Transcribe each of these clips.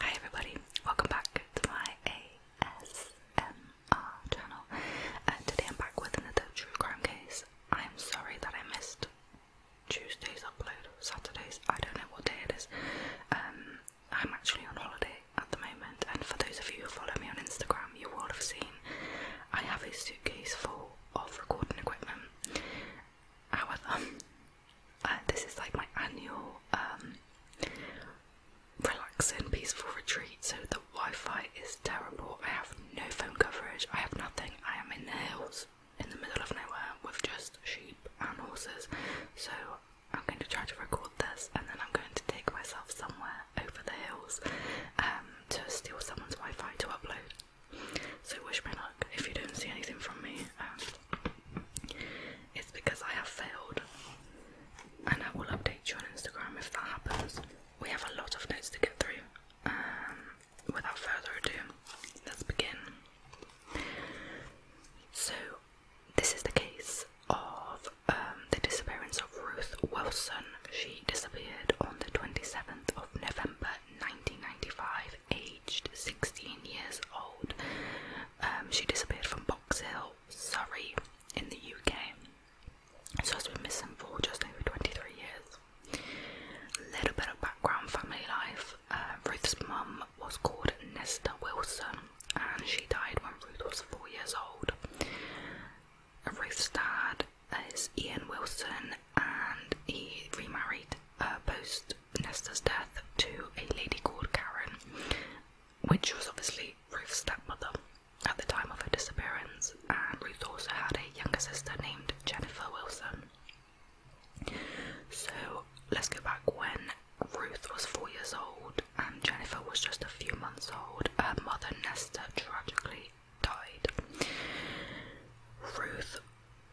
Hi everybody, welcome back to my ASMR channel. Uh, today I'm back with another true crime case. I'm sorry that I missed Tuesday's upload, Saturday's, I don't know what day it is. Um, I'm actually on holiday at the moment, and for those of you who follow me on Instagram, you will have seen I have a suitcase full of recording equipment. However, uh, this is like my annual um, relaxing, peaceful retreat. So the Wi-Fi is terrible. I have no phone coverage. I have nothing. I am in the hills, in the middle of nowhere, with just sheep and horses. So I'm going to try to record this, and then I'm going to take myself somewhere over the hills um, to steal someone's Wi-Fi to upload. So wish me luck. If you don't see anything from me, it's because I have failed, and I will update you on Instagram if that happens. We have a lot of notes to get through. Um, without further ado, let's begin. So, this is the case of um, the disappearance of Ruth Wilson. She disappeared on the 27th of November 1995 aged 16 years old. Um, she disappeared from Box Hill, Surrey, in the UK. So has been missing for just over 23 years. A little bit of background family life. Uh, Ruth's mum was called Nesta Wilson and she died when Ruth was four years old. Ruth's dad is Ian Wilson and he remarried uh, post Nesta's death to a lady called Karen, which was obviously Ruth's stepmother at the time of her disappearance, and Ruth also had a younger sister named Jennifer Wilson. So let's go back when Ruth was four years old and Jennifer was just a few months old. Her mother Nesta tragically died. Ruth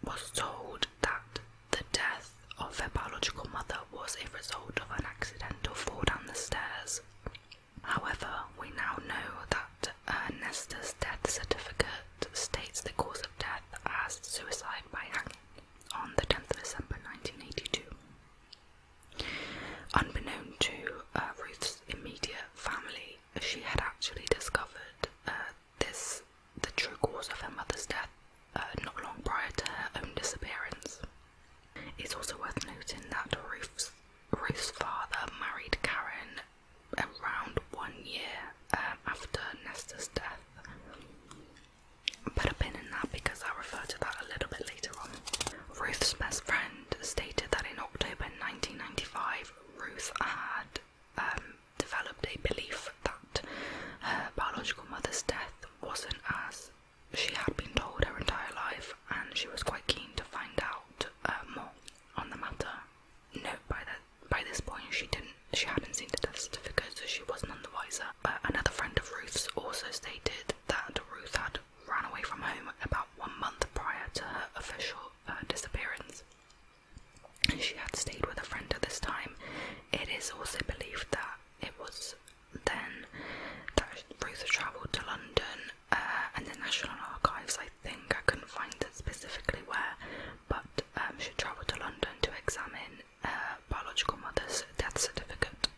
was told that the death of her biological mother was a result of an accidental fall down the stairs. However, we now know that Ernesta's death certificate states the cause of death as suicide by hanging on the 10th of December 1982. Unbeknown to uh, Ruth's immediate family, she had actually discovered uh, this the true cause of her mother's death uh, not long prior to her own disappearance. It's also worth noting that Ruth's, Ruth's father married Karen around one year um, after Nestor's death. Put a pin in that because I'll refer to that a little bit later on. Ruth's best friend stated that in October 1995, Ruth had um, developed a belief that her biological mother's death wasn't as she had been told her entire life, and she was quite keen to find out uh, more on the matter. No, by that by this point she didn't she hadn't seen the death certificate, so she was none the wiser. another friend of Ruth's also stated that Ruth had ran away from home about one month prior to her official uh, disappearance. She had stayed with a friend at this time. It is also believed that it was then that Ruth travelled to London uh, and the National Archives, I think. I couldn't find it specifically where, but um, she travelled to London to examine uh, biological mother's death certificate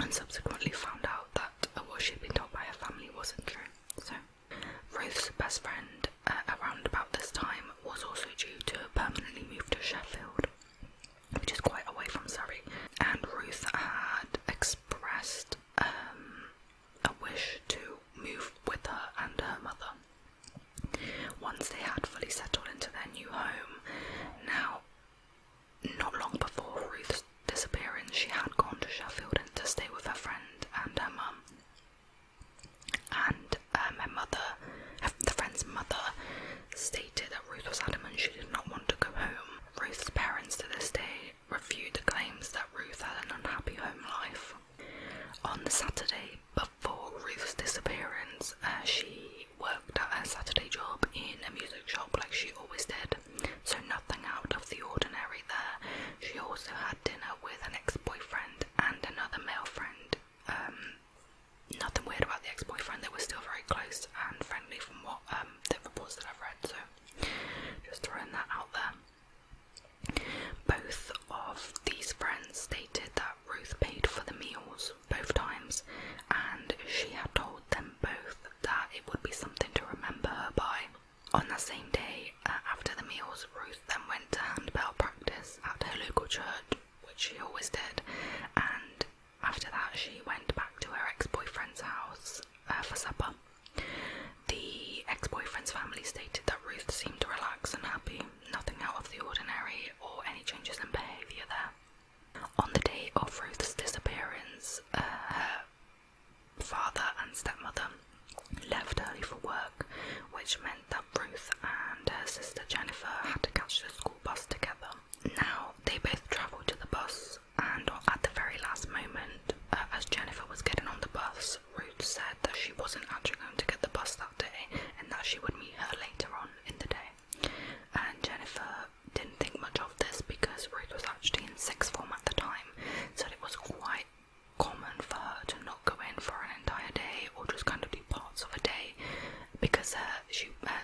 and subsequently found out that what she'd been told by her family wasn't true. So. Ruth's best friend, uh, around about this time, was also due to permanently move to Sheffield, which is quite away from Surrey, and Ruth had expressed um, a wish to move with her and her mother. Once they had fully settled into their new home, now, not long before Ruth's disappearance, she had gone to Sheffield to stay with her friend and her mum and um, her mother, the friend's mother, stated that Ruth was adamant she did not want to go home. Ruth's parents to this day refute the claims that Ruth had an unhappy home life. On the Saturday before Ruth's disappearance, uh, she worked at her Saturday job in a music shop like she always did, so nothing out of the ordinary there. She also had dinner with an ex boyfriend and another male friend. Um, nothing weird about the ex-boyfriend; they were still very close and friendly from what um, the reports that I've read. So, just throwing that out there. Both of these friends stated that Ruth paid for the meals both times, and she had told them both that it would be something to remember by on that same day uh, after the meals, Ruth then went to handbell practice at her local church, which she always did, and after that, she went back to her ex boyfriend's house uh, for supper. The ex boyfriend's family stated that Ruth seemed relaxed and happy, nothing out of the ordinary or any changes in behaviour there. On the day of Ruth's disappearance, uh, her father and stepmother left early for work, which meant that Ruth and her sister Jennifer had to catch the school bus together. Now, they both travelled to the bus, and at the very last moment, uh, as Jennifer was getting on the bus, Ruth said that she wasn't actually going to get the bus that day and that she would meet her later on in the day. And Jennifer didn't think much of this because Ruth was actually in sixth form at the time, so it was quite common for her to not go in for an entire day or just kind of do parts of a day because her, uh, she, her uh,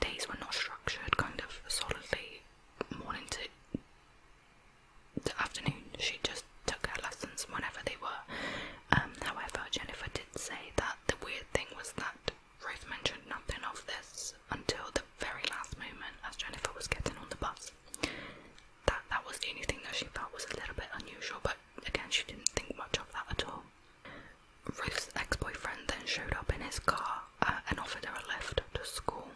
days were not structured kind of solidly morning to afternoon. She just took her lessons whenever they were. Um, however, Jennifer did say that the weird thing was that Ruth mentioned nothing of this until the very last moment as Jennifer was getting on the bus that that was the only thing that she felt was a little bit unusual, but again, she didn't think much of that at all. Ruth's ex-boyfriend then showed up in his car uh, and offered her a lift to school.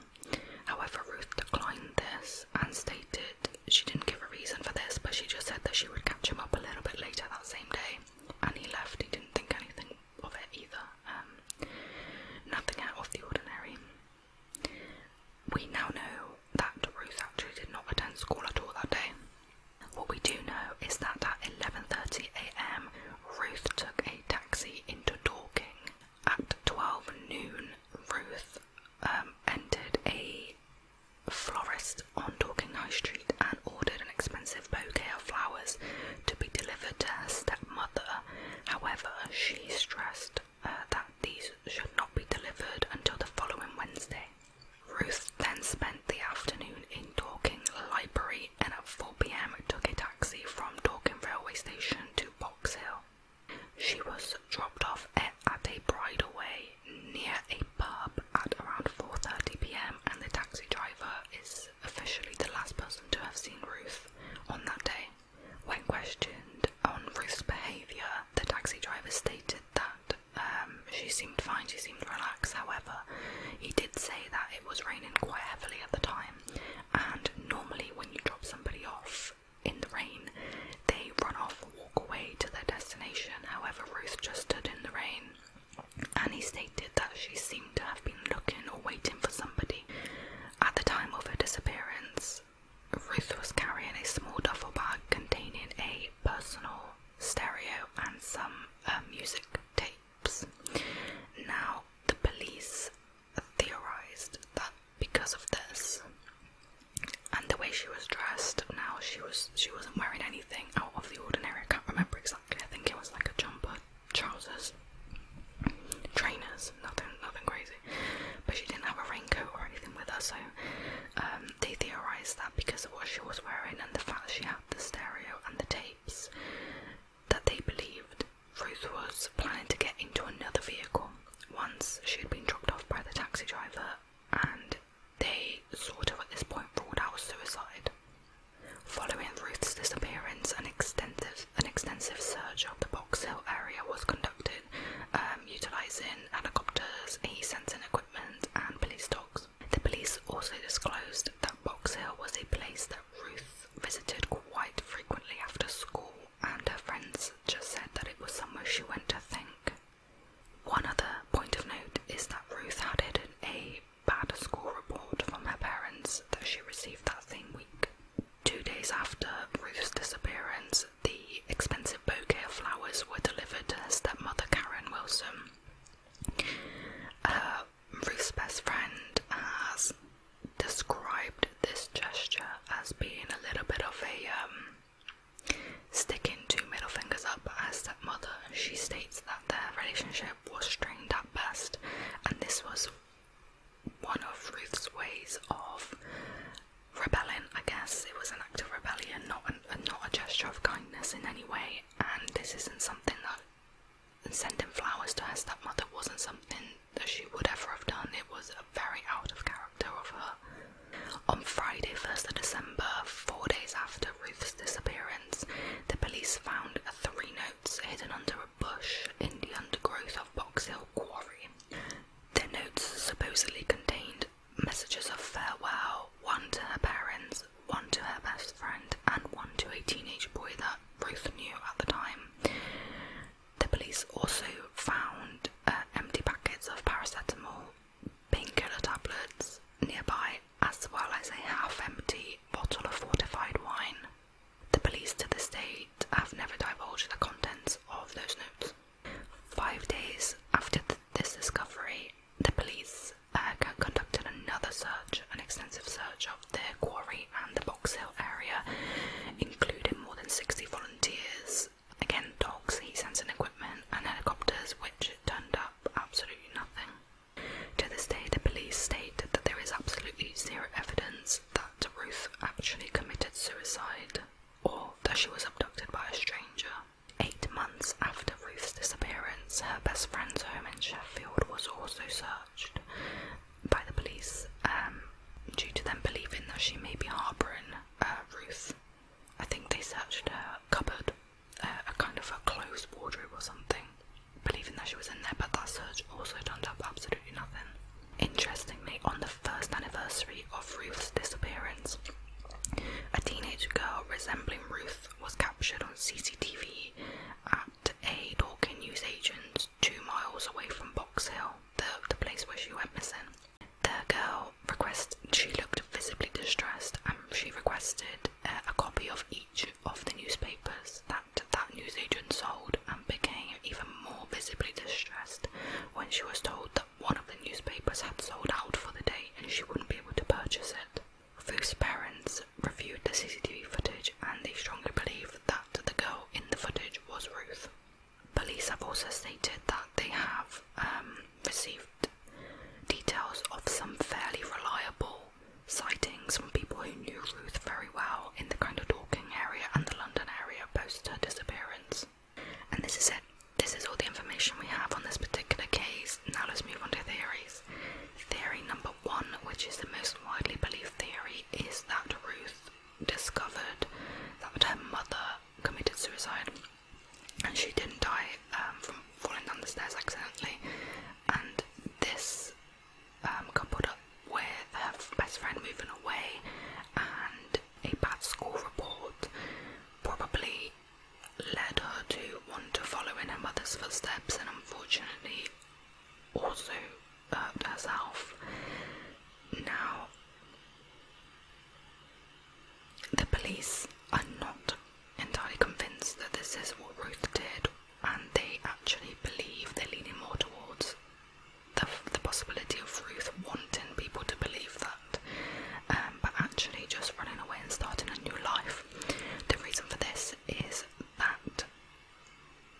However, Ruth declined this and stated she didn't give a reason for this, but she just said that she would catch him up a little bit later that same day. And he left. He didn't think anything of it either. Um, nothing out of the ordinary. We now know that Ruth actually did not attend school at all that day. What we do know is that at 11:30 a.m., Ruth took a taxi into Dorking. At 12 noon, Ruth um, entered a florist on Dorking High Street and ordered an expensive bouquet of flowers to be delivered to her stepmother. However, she stressed uh, that these should not be delivered until the following Wednesday. Ruth then spent the afternoon in Dorking Library and at 4 pm took a taxi from Dorking Railway Station to Box Hill. She was dropped off at, at a bridleway near a pub at around 4:30 pm and the taxi driver is officially the last person to have seen Ruth on that day. When questioned on Ruth's behaviour, the taxi driver stated that um, she seemed fine, she seemed relaxed. However, he did say that it was raining quite heavily at the time, and normally when you drop somebody off in the rain, they run off and walk away to their destination. However, Ruth just stood in the rain. And he stated that she seemed to have been looking or waiting for somebody. At the time of her disappearance, Ruth was carrying a small duffel bag containing a personal stereo and some um, music tapes. Now, the police theorized that because of this and the way she was dressed, now she was she wasn't wearing anything out of the ordinary. I can't remember exactly. I think it was like a jumper, trousers, trainers, nothing, nothing crazy. But she didn't have a raincoat or anything with her, so um, they theorised that because of what she was wearing and the fact that she had the stereo and the tapes, that they believed Ruth was planning to get into another vehicle once she had been dropped off by the taxi driver, and they sort of at this point ruled out suicide. Following Ruth's disappearance, an extensive an extensive search of the Box Hill area was conducted um, utilising helicopters, e sensing equipment, and police dogs. The police also disclosed that Box Hill was a place that Ruth visited quite frequently after school, and her friends just said that it was somewhere she went to think. One other point of note is that Ruth had hidden a bad school report from her parents that she received that same week. Two days after Ruth's disappearance, the expensive bouquet of flowers were delivered to her stepmother Karen Wilson. Ruth's best friend has described this gesture as being a little bit of a um, sticking two middle fingers up at her stepmother. She states that their relationship was strained at best, and this was one of Ruth's ways of rebelling. I guess it was an act of rebellion, not not a gesture of kindness in any way. And this isn't something that sending flowers to her stepmother wasn't something that she would ever have done. It was a very out of character of her. On Friday, 1st of December, four days after Ruth's disappearance, the police found three notes hidden under a bush in the undergrowth of Box Hill Quarry. Their notes supposedly contained messages of farewell, one to her parents, one to her best friend, and one to a teenage boy that Ruth knew at the time. The police also found uh, empty packets of paracetamol, painkiller tablets nearby, as well as a half empty bottle of fortified wine. The police to this date have never divulged the contents of those notes. Five days after this discovery, the police uh, conducted another search, an extensive search of the quarry and the Box Hill area, including more than 60 volunteers. Again, dogs, heat sensing equipment, and helicopters, which turned up absolutely nothing. To this day, the police state that there is absolutely zero evidence that Ruth actually committed suicide or that she was abducted by a stranger. Eight months after Ruth's disappearance, her best friend's home in Sheffield was also searched by the police um, due to them believing that she may be harbouring uh, Ruth. I think they searched her cupboard, uh, a kind of a closed wardrobe or something, believing that she was in there, but that search also turned up absolutely nothing. Interestingly, on the first anniversary of Ruth's disappearance, a teenage girl resembling Ruth was captured on CCTV at a Dorking newsagent's two miles away from Box Hill, the, the place where she went missing. The girl requested, she looked visibly distressed and she requested uh, a copy of each of the newspapers that that newsagent sold and became even more visibly distressed when she was told that one of the newspapers had sold out for the day and she wouldn't be able to purchase it. Ruth's parents reviewed the CCTV footage and they strongly believe that the girl in the footage was Ruth. Police have also stated that they have um, received details of some fairly reliable sightings from people who knew Ruth very well in the Crandall Dorking area and the London area post her disappearance. And this is it. This is all the information we have on this particular case. Now let's move on to theories. Theory number one, which is the most widely believed theory, is that Ruth discovered that her mother committed suicide and she didn't die um, from falling down the stairs accidentally. And this um, coupled up with her best friend moving away and a bad school report probably led her to want to follow in her mother's footsteps and unfortunately also hurt herself. Now, the police are not entirely convinced that this is what Ruth did, and they actually believe they're leaning more towards the, the possibility of Ruth wanting people to believe that, um, but actually just running away and starting a new life. The reason for this is that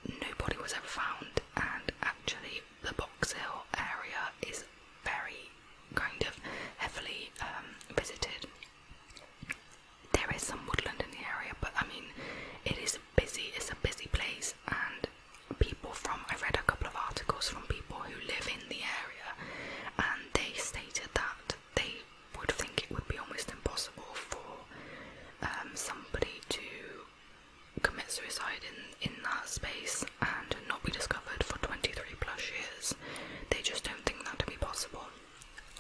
nobody was ever found, and actually, the Box Hill area is very kind of heavily um, visited. There is some woodland in the area, but I mean, it is busy, it's a busy place, and people from I read a couple of articles from people who live in the area, and they stated that they would think it would be almost impossible for um, somebody to commit suicide in in that space and not be discovered for 23 plus years. They just don't think that to be possible.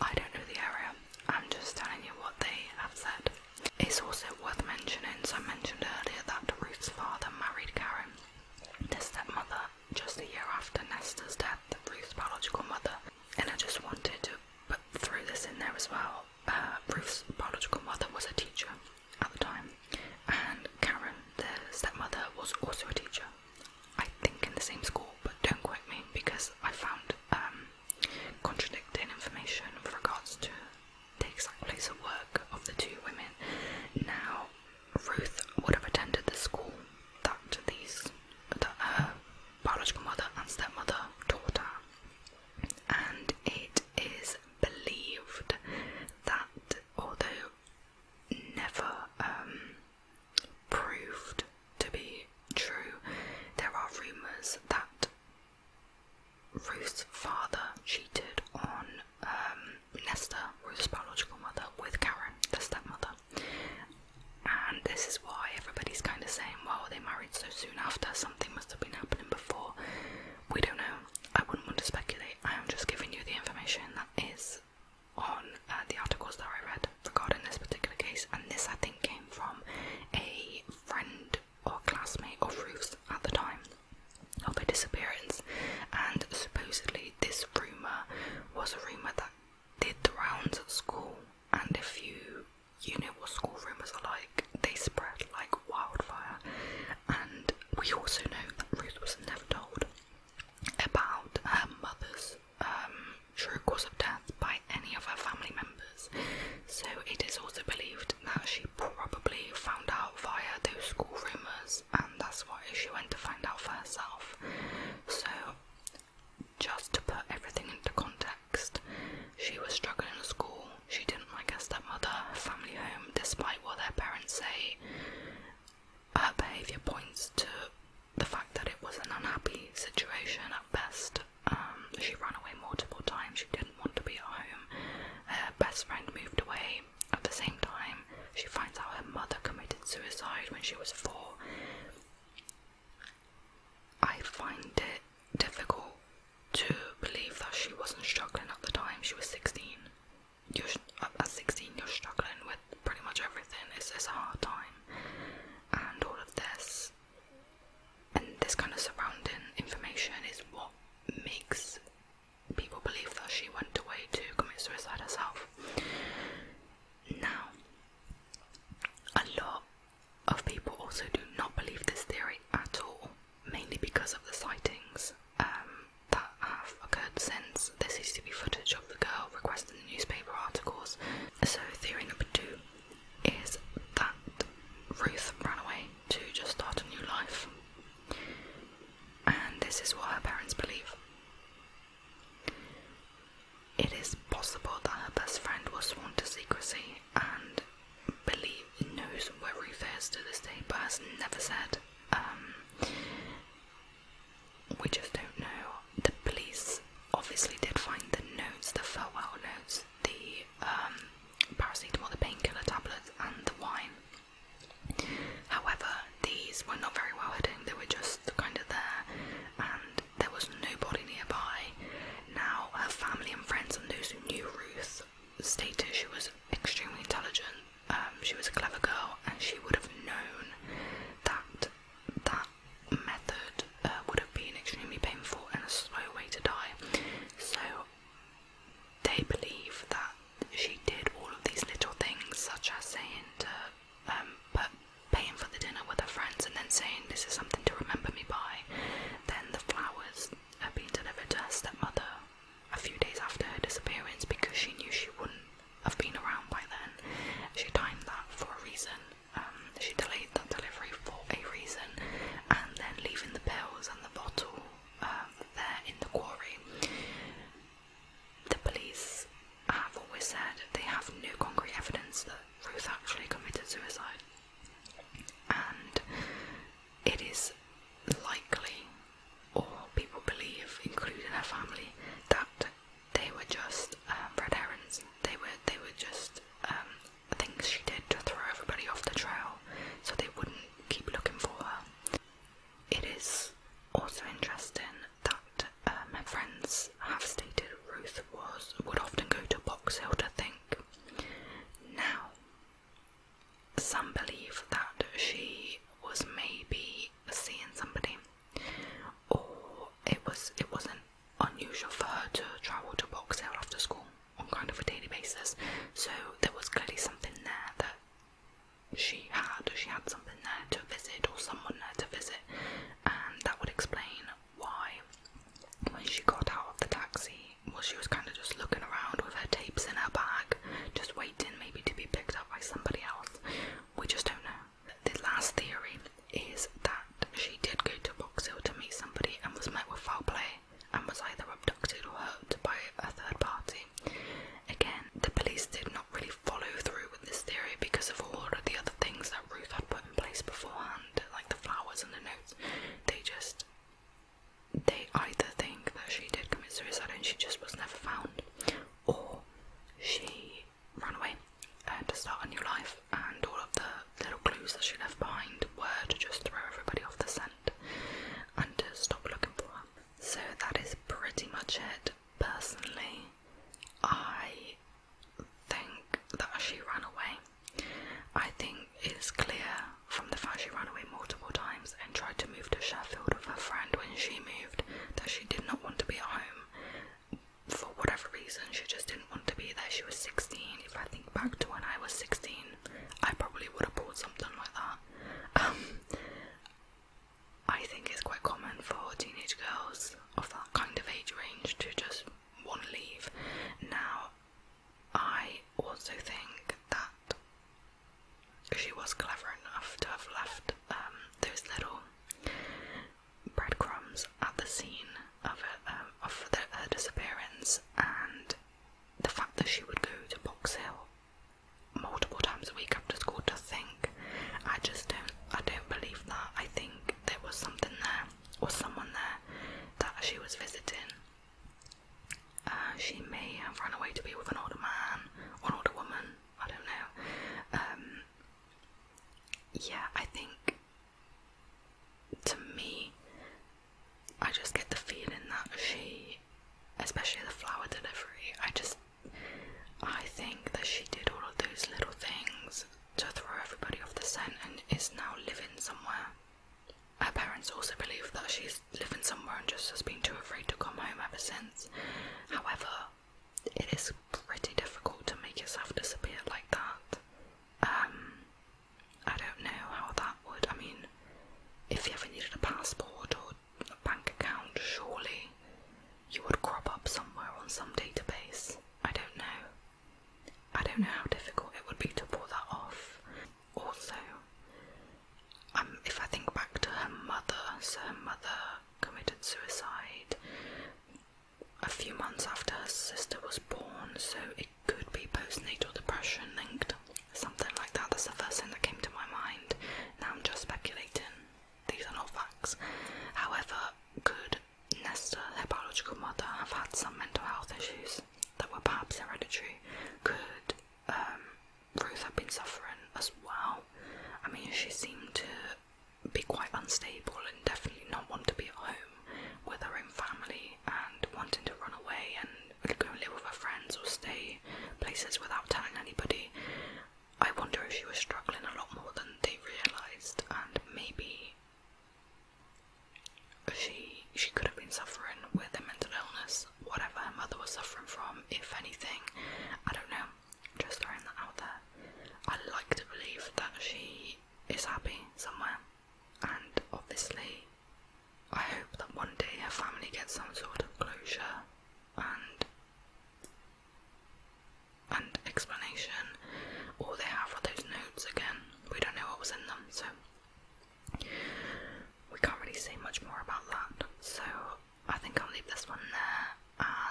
I don't know the area. I'm just telling you what they have said. It's also worth mentioning, as I mentioned earlier, that Ruth's father married Karen, their stepmother, just a year after Nesta's death, Ruth's biological mother. And I just wanted to put through this in there as well. Uh, Ruth's biological mother was a teacher at the time, and Karen, their stepmother, was also a teacher. I think in the same school, but don't quote me because I found um, contradicting information with regards to takes place at work of the two women. Now, Ruth would have attended the school that these that her biological mother and stepmother taught her, and it is believed that although never um, proved to be true, there are rumours that Ruth's father cheated on um, Nesta, Ruth's biological mother, with Karen, the stepmother. And this is why everybody's kind of saying, well, they married so soon after, something must have been happening before. We don't know. I wouldn't want to speculate. I am just giving you the information that is on uh, the articles that I read regarding this particular case. And this, I think, came from a friend or classmate of Ruth's at the time of her disappearance, and supposedly this rumour was a rumour that did the rounds at school. And if you you know what school rumours are like, they spread like wildfire. And we also know that Ruth was never told about her mother's um, true cause of death by any of her family members. So it is also believed that she probably found out via those school rumours, and that's why she went to find out for herself. So, just to put everything into context, she was struggling at school, she didn't like her stepmother, her family home, despite what their parents say. Her behaviour points to the fact that it was an unhappy situation at best. Um, she ran away multiple times. She didn't want to be at home. Her best friend moved away. At the same time, she finds out her mother committed suicide when she was four. I find it difficult to believe that she wasn't struggling at the time. She was 16. you at 16, you're struggling with pretty much everything. It's, it's a hard time. And all of this and this kind of surrounding information is what makes people believe that she went away to commit suicide herself. Now, a lot of people also do not believe this theory at all, mainly because of the sightings um, that have occurred since. There seems to be footage of the girl requesting the newspaper articles. So, theory number two is that Ruth ran away to just start a new life, and this is what her parents believe. It is possible that her best friend was sworn to secrecy and believe knows where Ruth is to this day, but has never said. Um, we just don't know. The police obviously did find the notes, the farewell notes, the um, paracetamol, the painkiller tablets, and the wine. However, these were not very well hidden, they were just kind of there, and there was nobody nearby. Now, her family and friends and those who knew Ruth stated she was extremely intelligent, um, she was a clever girl, and she would have known that that method uh, would have been extremely painful and a slow way to die. So, they believe that she did all of these little things, such as saying to um, put, paying for the dinner with her friends and then saying, This is something to remember me by. Then the flowers had been delivered to her stepmother a few days after her disappearance because she knew she wouldn't have been around by then. She timed that for a reason. Um, she delayed that delivery for a reason, and then leaving the pills and the bottle um, there in the quarry. The police have always said they have no concrete evidence that Ruth actually committed suicide, and it is likely, or people believe, including her family, that they were just um, red herrings. They were they were just um, things she did to throw everybody off the trail so they wouldn't keep looking for her. It is also interesting that my um, friends have stated Ruth was would often go to Box Hill to think. Now, some believe that she was maybe seeing somebody, or it was it wasn't unusual for her to travel to Box Hill after school on kind of a daily basis. So there was clearly something there that she had, she had something there to visit or someone there to visit, and that would explain why when she got out of the taxi, well, she was kind of just looking around with her tapes in her bag, just waiting maybe to be picked up by somebody else. We just don't know. The last theory is that she did go to Box Hill to meet somebody and was met with foul play, and was either abducted or hurt by a third party. Again, the police did not really follow through with this theory because of all of the other things that Ruth had put in place beforehand, like the flowers and the notes. They just they either think that she did commit suicide and she just was never found, or she ran away uh, to start a new life, and all of the little clues that she left behind were to just throw everybody off the scent and to stop looking for her. So that is pretty much it. Personally, I think that she ran away. I think it's clear from the fact she ran away multiple times and tried to move to Sheffield with her friend when she moved that she did not want to be at home. For whatever reason, she just didn't want to be there. She was 16. If I think back to when I was 16, I probably would have bought something like that. Um, I think it's quite common for teenage girls of that kind of age range to just want to leave. Now, I also think that she was clever enough to have left um, those little breadcrumbs at the scene of her, um, the, disappearance and the fact that she would go to Box Hill multiple times a week after school to think. I just don't. I don't believe that. I think there was something there or someone there that she was visiting. Uh, she may have run away to be with an older man or an older woman. I don't know. Um, yeah, I think to me, I just get the feeling that she, especially the flower delivery, I just, I think that she did all of those little things to throw everybody off the scent and is now living somewhere. Her parents also believe that she's living somewhere and just has been too afraid to come home ever since. However, it is pretty difficult to make yourself disappear like that. Um, I don't know how that would. I mean, if you ever needed a passport or a bank account, surely you would crop up somewhere on some database. I don't know. I don't know how difficult it would be to pull that off. Also, um, if I think back to her mother, so her mother committed suicide a few months after her sister was born, so it could be postnatal depression linked, something like that. That's the first thing that came to my mind. Now I'm just speculating, these are not facts. However, could Nesta, her biological mother, have had some mental health issues that were perhaps hereditary? Could um, Ruth have been suffering as well? I mean, she seemed to be quite unstable and definitely not want to be at home with her own family and wanting to run away and go live with her friends or stay places without telling anybody. I wonder if she was struggling a lot more than they realised, and maybe she she could have been suffering with a mental illness, whatever her mother was suffering from, if anything. I don't know. Just throwing that out there. I like to believe that she is happy somewhere and obviously, I hope that one day her family gets some sort of closure and and explanation. All they have are those notes again. We don't know what was in them, so we can't really say much more about that. So I think I'll leave this one there.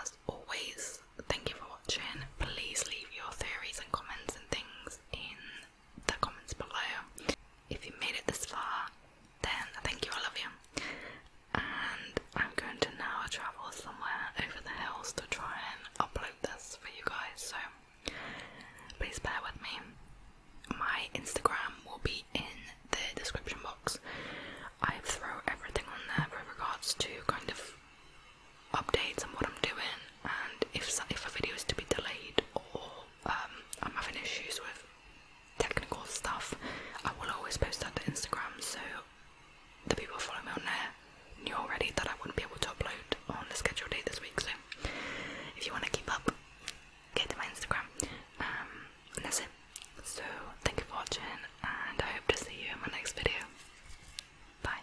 As always, thank you for watching. Please leave your theories and comments and things in the comments below. If you made it this far, then thank you, I love you. And I'm going to now travel somewhere over the hills to try and upload this for you guys, so please bear with me. My Instagram will be in the description box. I throw everything on there regards to kind of updates on what I'm doing and if if a video is to be delayed or um, I'm having issues with technical stuff, I will always post that to Instagram so the people who follow me on there knew already that I wouldn't be able to upload on the scheduled date this week. So if you want to keep up, get to my Instagram. Um, and that's it. So thank you for watching and I hope to see you in my next video. Bye.